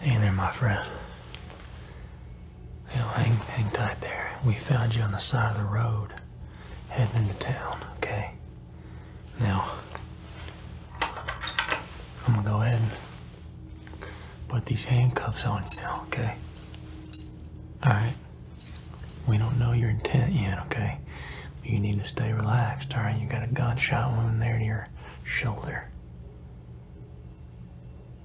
Hang there, my friend. You hang, hang tight there. We found you on the side of the road, heading into town, okay? Now, I'm gonna go ahead and put these handcuffs on you okay? Alright? We don't know your intent yet, okay? you need to stay relaxed, alright? You got a gunshot wound there your shoulder.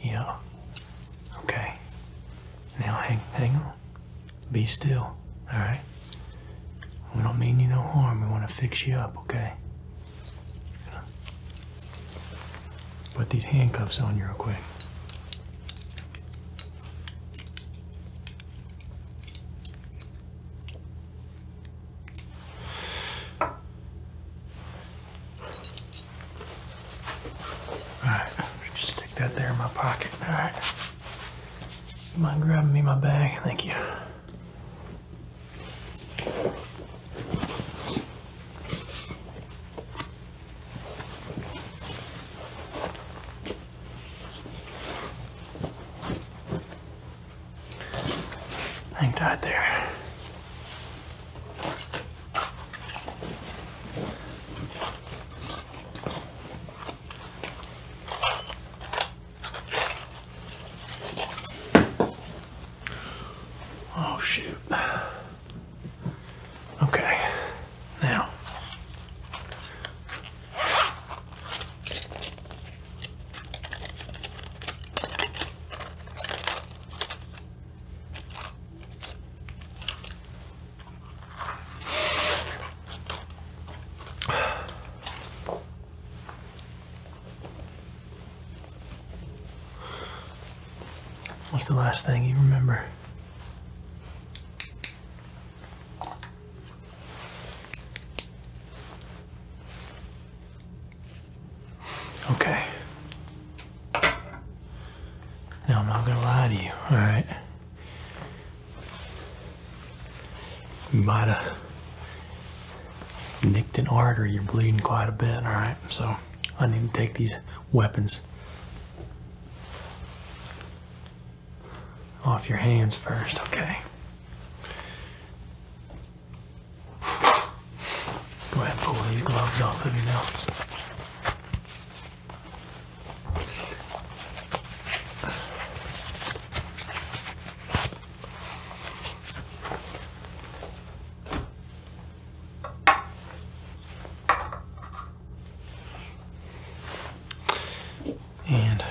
Yeah. Okay. Now hang hang on. Be still. Alright? We don't mean you no harm. We want to fix you up, okay? Put these handcuffs on you real quick. Alright, just stick that there in my pocket. Alright. mind grabbing me my bag. Thank you. Hang tight there. Oh, shoot. Okay. Now. What's the last thing you remember? Okay. Now I'm not gonna lie to you, alright? You might have nicked an artery, you're bleeding quite a bit, alright? So I need to take these weapons off your hands first, okay? Go ahead and pull these gloves off of you now. And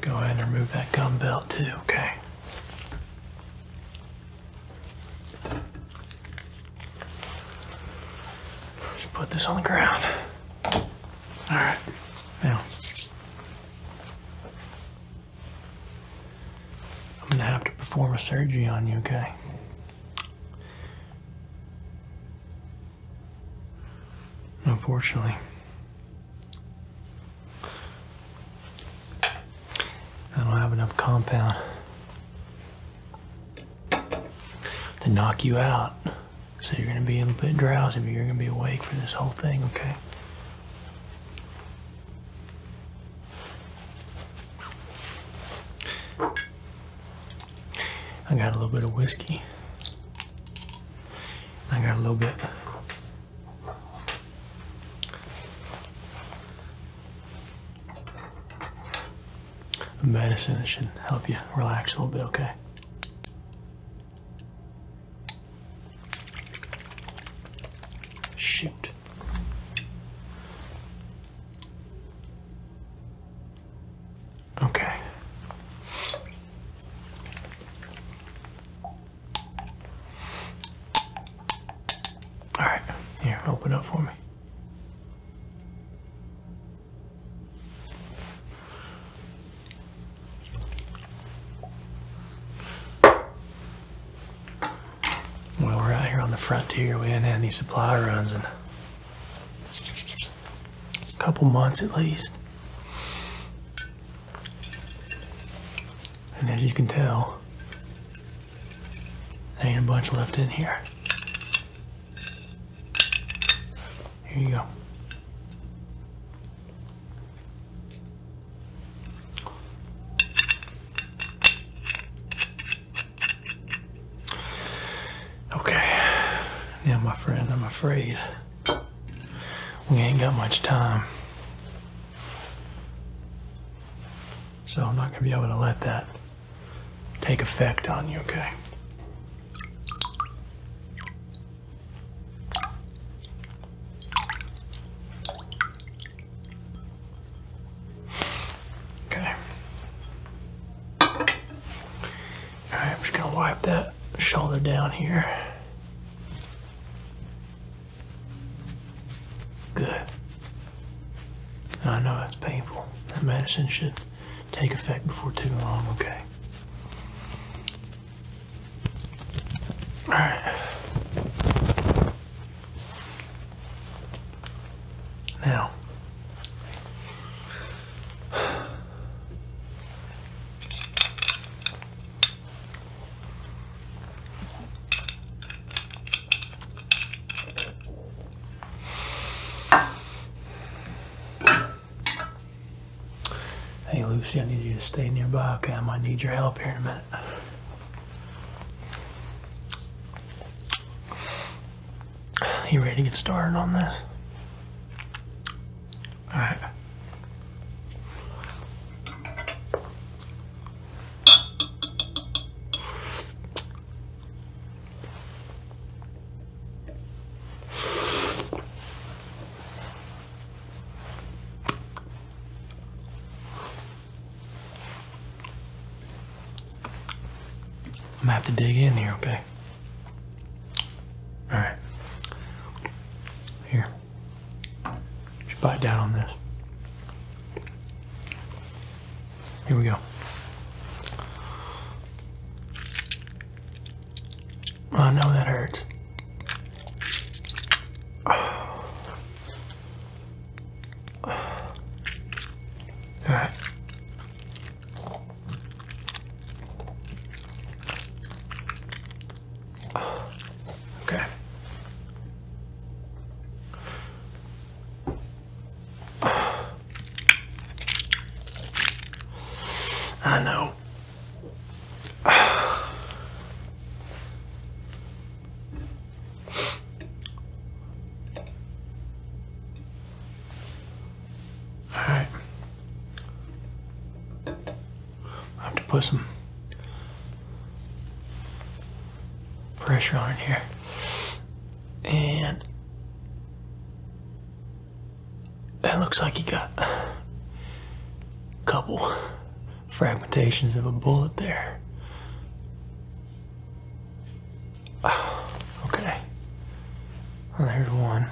Go ahead and remove that gum belt too, okay? Put this on the ground. Alright, now I'm gonna have to perform a surgery on you, okay? Unfortunately. I don't have enough compound to knock you out. So you're going to be a little bit drowsy, but you're going to be awake for this whole thing, okay? I got a little bit of whiskey. I got a little bit of medicine that should help you relax a little bit, okay? Shoot. Okay. All right, here, open up for me. Well, we're out here on the frontier. We ain't had any supply runs in a couple months at least. And as you can tell, there ain't a bunch left in here. Here you go. Okay. Now, my friend, I'm afraid we ain't got much time. So I'm not going to be able to let that take effect on you, okay? Okay. Alright, I'm just going to wipe that shoulder down here. Good. I know it's painful. That medicine should take effect before too long, okay? Alright. Now, Hey Lucy, I need you to stay nearby, okay? I might need your help here in a minute. You ready to get started on this? Alright. I'm gonna have to dig in here, okay? All right. Here. You should bite down on this. Here we go. Oh, I know that hurts. All right. Okay. I know. Alright. I have to put some pressure on here. And that looks like you got a couple fragmentations of a bullet there. Okay. Well, there's one.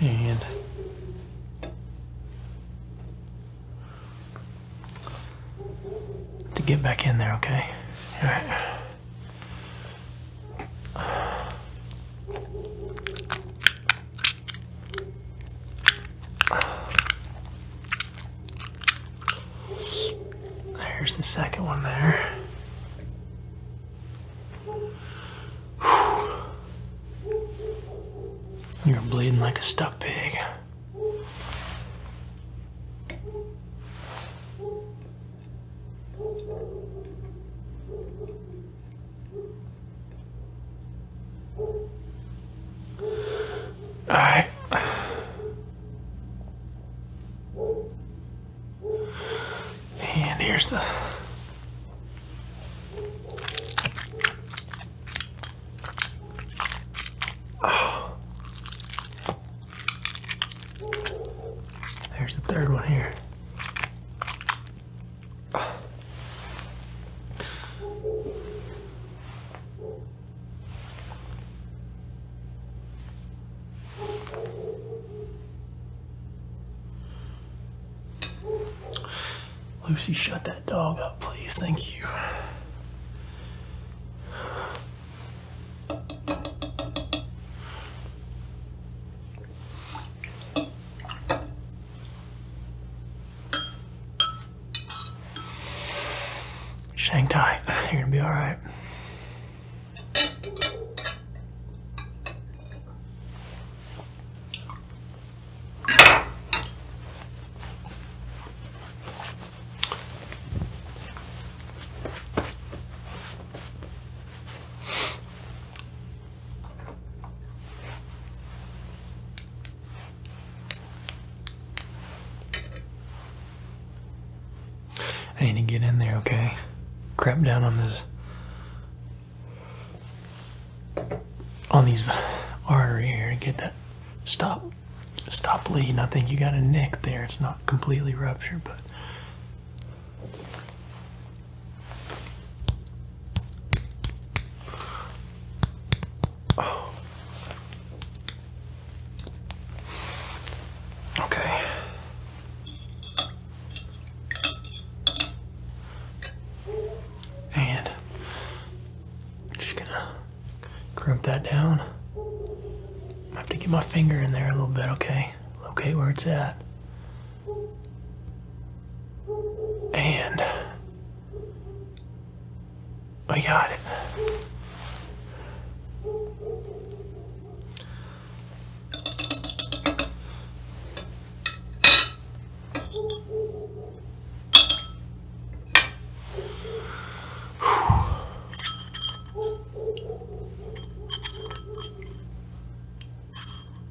And to get back in there, okay? All right. There's the second one there. You're bleeding like a stuck pig. Alright. And here's the There's the third one here. Lucy, shut that dog up, please. Thank you just hang You're gonna be all right. I need to get in there, okay? Crap down on this on these arteries here and get that stop stop bleeding. I think you got a nick there. It's not completely ruptured, but Okay. And just gonna crimp that down. I have to get my finger in there a little bit, okay? Locate where it's at. And I got it.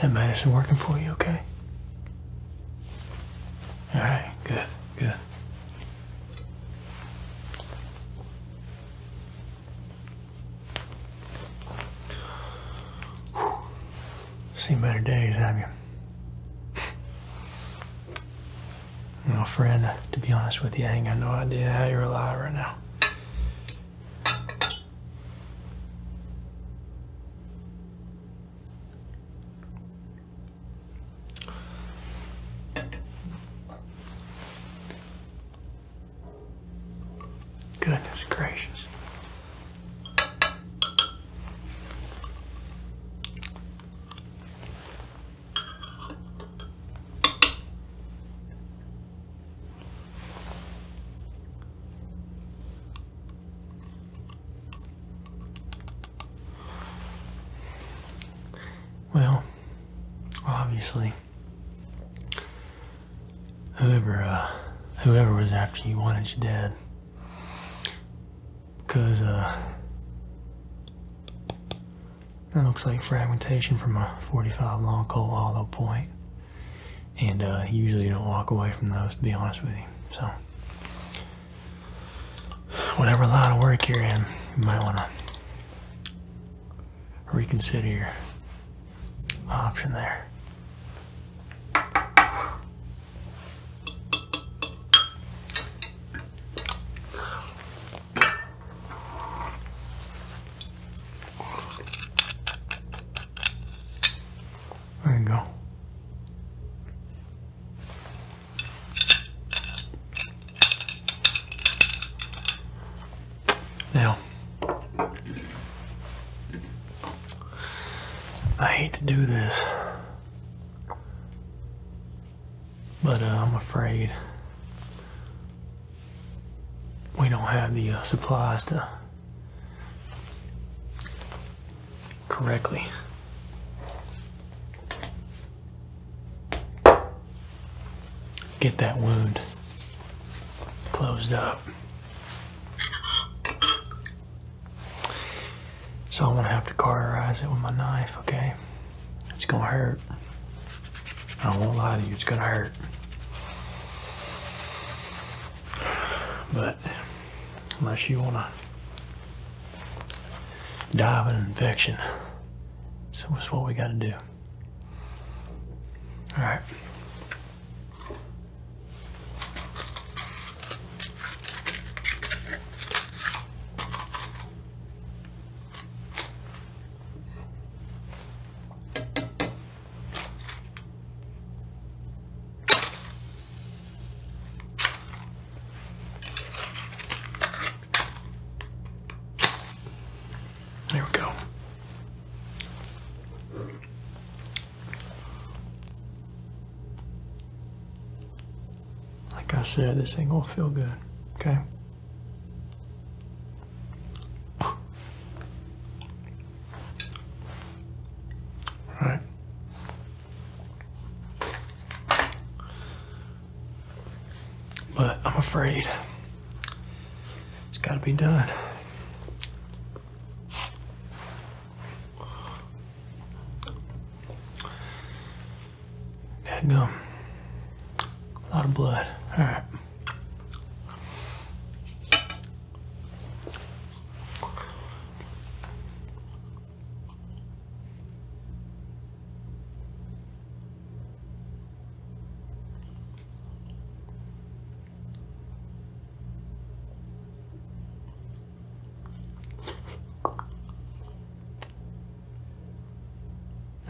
That medicine working for you, okay? All right, good, good. Seen better days, have you? You friend, to be honest with you, I ain't got no idea how you're alive right now. Goodness gracious. Well, obviously, whoever uh, whoever was after you wanted you dead, because uh, that looks like fragmentation from a 45 long coal hollow And uh, usually you don't walk away from those, to be honest with you. So, whatever line of work you're in, you might want to reconsider your option there. There you go. Now, I hate to do this, but uh, I'm afraid we don't have the uh, supplies to correctly. Get that wound closed up. So I'm gonna have to cauterize it with my knife, okay? It's gonna hurt. I won't lie to you, it's gonna hurt. But unless you wanna die of an infection, so that's what we gotta do. Alright. There we go. Like I said, this thing going feel good, okay? Right. But I'm afraid it's got to be done. That gum. A lot of blood. All right.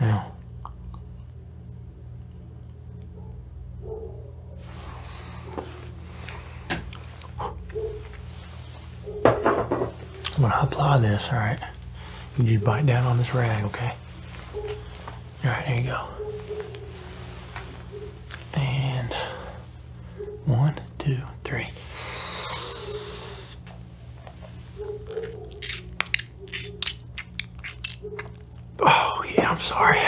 Now, I'm gonna apply this, all right? You just bite down on this rag, okay? All right, here you go. And one, two, three. Oh, yeah, I'm sorry.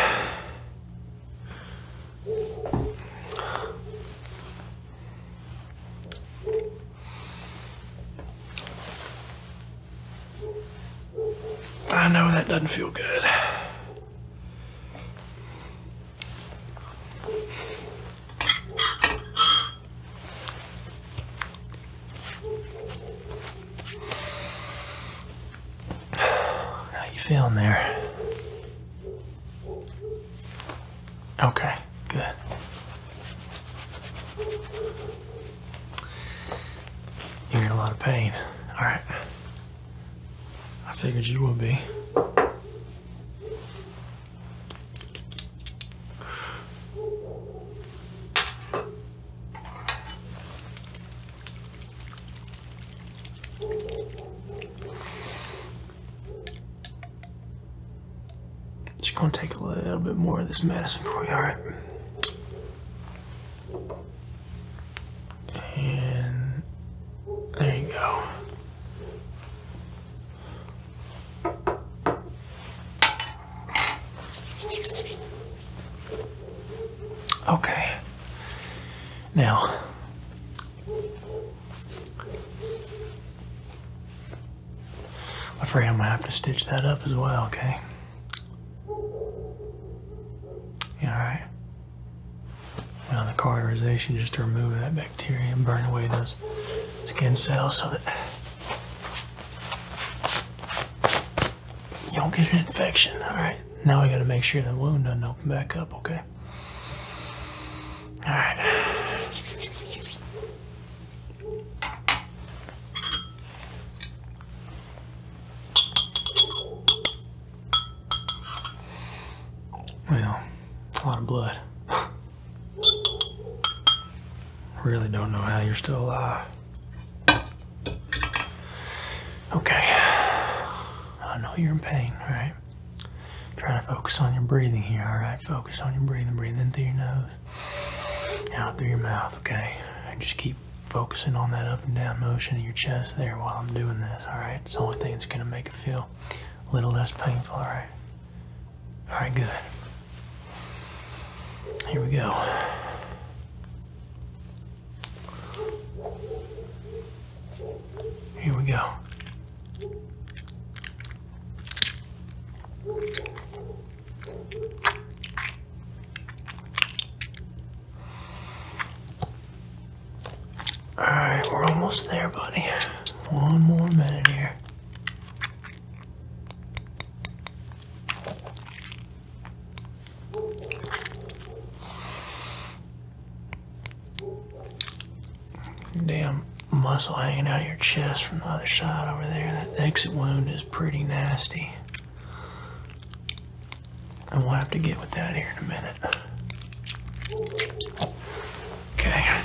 I know that doesn't feel good. How you feeling there? Okay, good. You're in a lot of pain. All right. I figured you would be. Just gonna take a little bit more of this medicine for you, alright? And there you go. Okay. Now, I'm afraid I'm gonna have to stitch that up as well, okay? Yeah, alright. Now the cauterization just to remove that bacteria bacteria and burn away those skin cells so that you don't get an infection. Alright, now we gotta make sure the wound doesn't open back up, okay? Alright. Well, a lot of blood. Really don't know how you're still alive. Okay. I know you're in pain, All right. Try to focus on your breathing here, alright? Focus on your breathing. Breathe in through your nose, out through your mouth, okay? just keep focusing on that up and down motion of your chest there while I'm doing this, alright? It's the only thing that's going to make it feel a little less painful, alright? Alright, good. Here we go. Here we go. Alright, we're almost there, buddy. One more minute here. Damn muscle hanging out of your chest from the other side over there. That exit wound is pretty nasty. i will have to get with that here in a minute. Okay.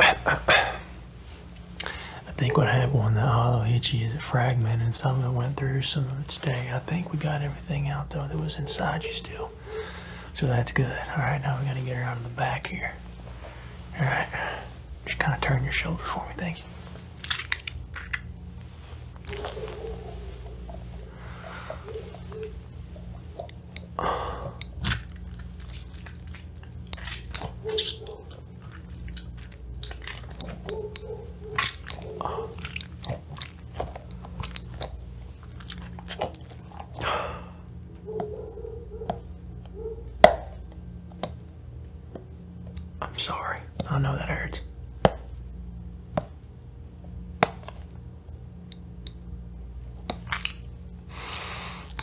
I think what happened when the Aloichi is a fragment and some of it went through, some of it stayed. I think we got everything out though that was inside you still. So that's good. Alright, now we gotta get around to the back here. Alright. Just kinda turn your shoulder for me, thank you. I'm sorry. I know that hurts.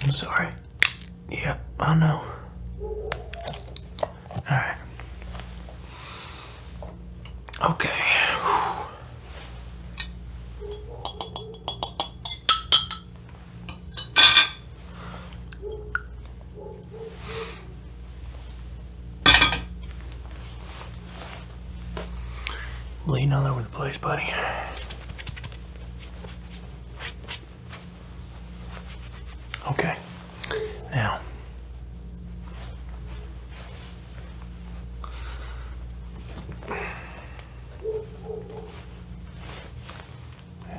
I'm sorry. Yeah, I know. Alright. Okay. Lean all over the place, buddy. Okay. Now.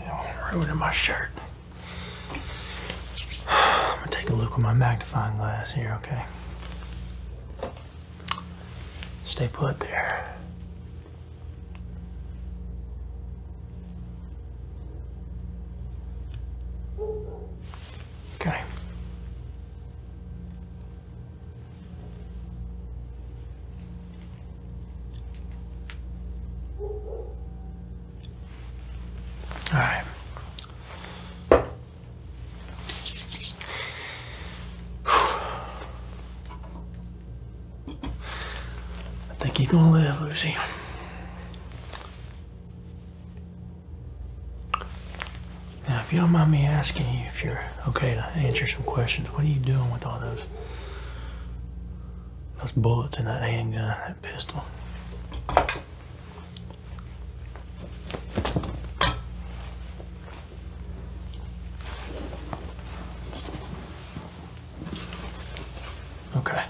I'm ruining my shirt. I'm gonna take a look with my magnifying glass here, okay? Stay put there. Okay. All right. I think you're gonna live, Lucy. Now, if you don't mind me asking you if you're okay to answer some questions, what are you doing with all those those bullets in that handgun, that pistol? Okay.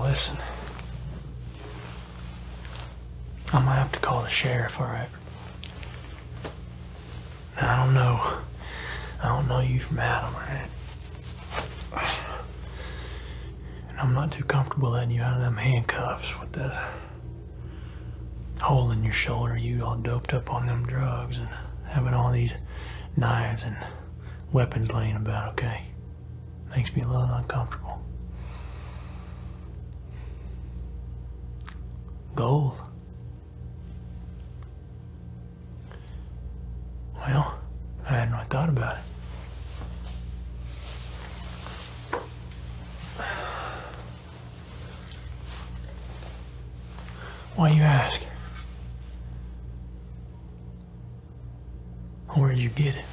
Listen. I might have to call the sheriff, alright? I don't know. I don't know you from Adam, alright? And I'm not too comfortable letting you out of them handcuffs with the hole in your shoulder, you all doped up on them drugs and having all these knives and weapons laying about, okay? Makes me a little uncomfortable. Gold. Well, I hadn't really thought about it. Why you ask? Where would you get it?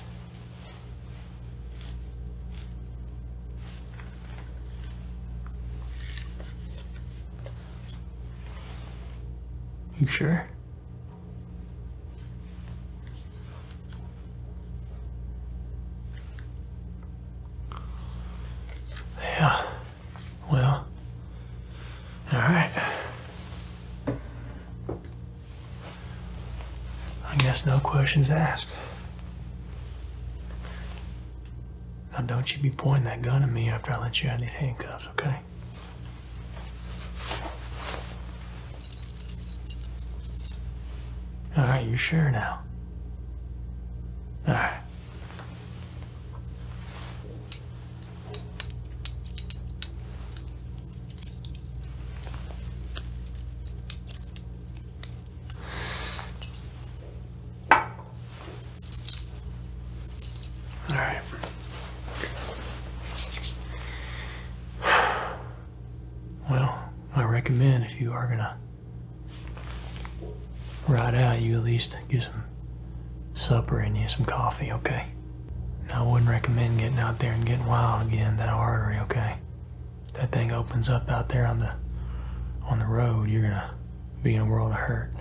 You sure? Yeah. Well. All right. I guess no questions asked. Now don't you be pointing that gun at me after I let you out of these handcuffs, okay? All right, sure now. All right. All right. Well, I recommend if you are gonna ride out, you at least get some supper and you, some coffee, okay? And I wouldn't recommend getting out there and getting wild again, that artery, okay? That thing opens up out there on the on the road, you're gonna be in a world of hurt.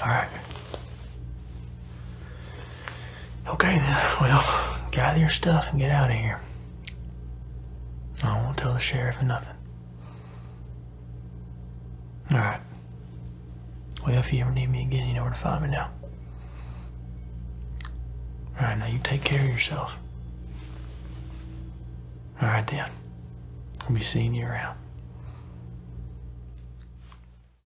Alright. Okay then, well, gather your stuff and get out of here. I won't tell the sheriff nothing. Alright. Well, if you ever need me again, you know where to find me now. Alright, now you take care of yourself. Alright then. I'll be seeing you around.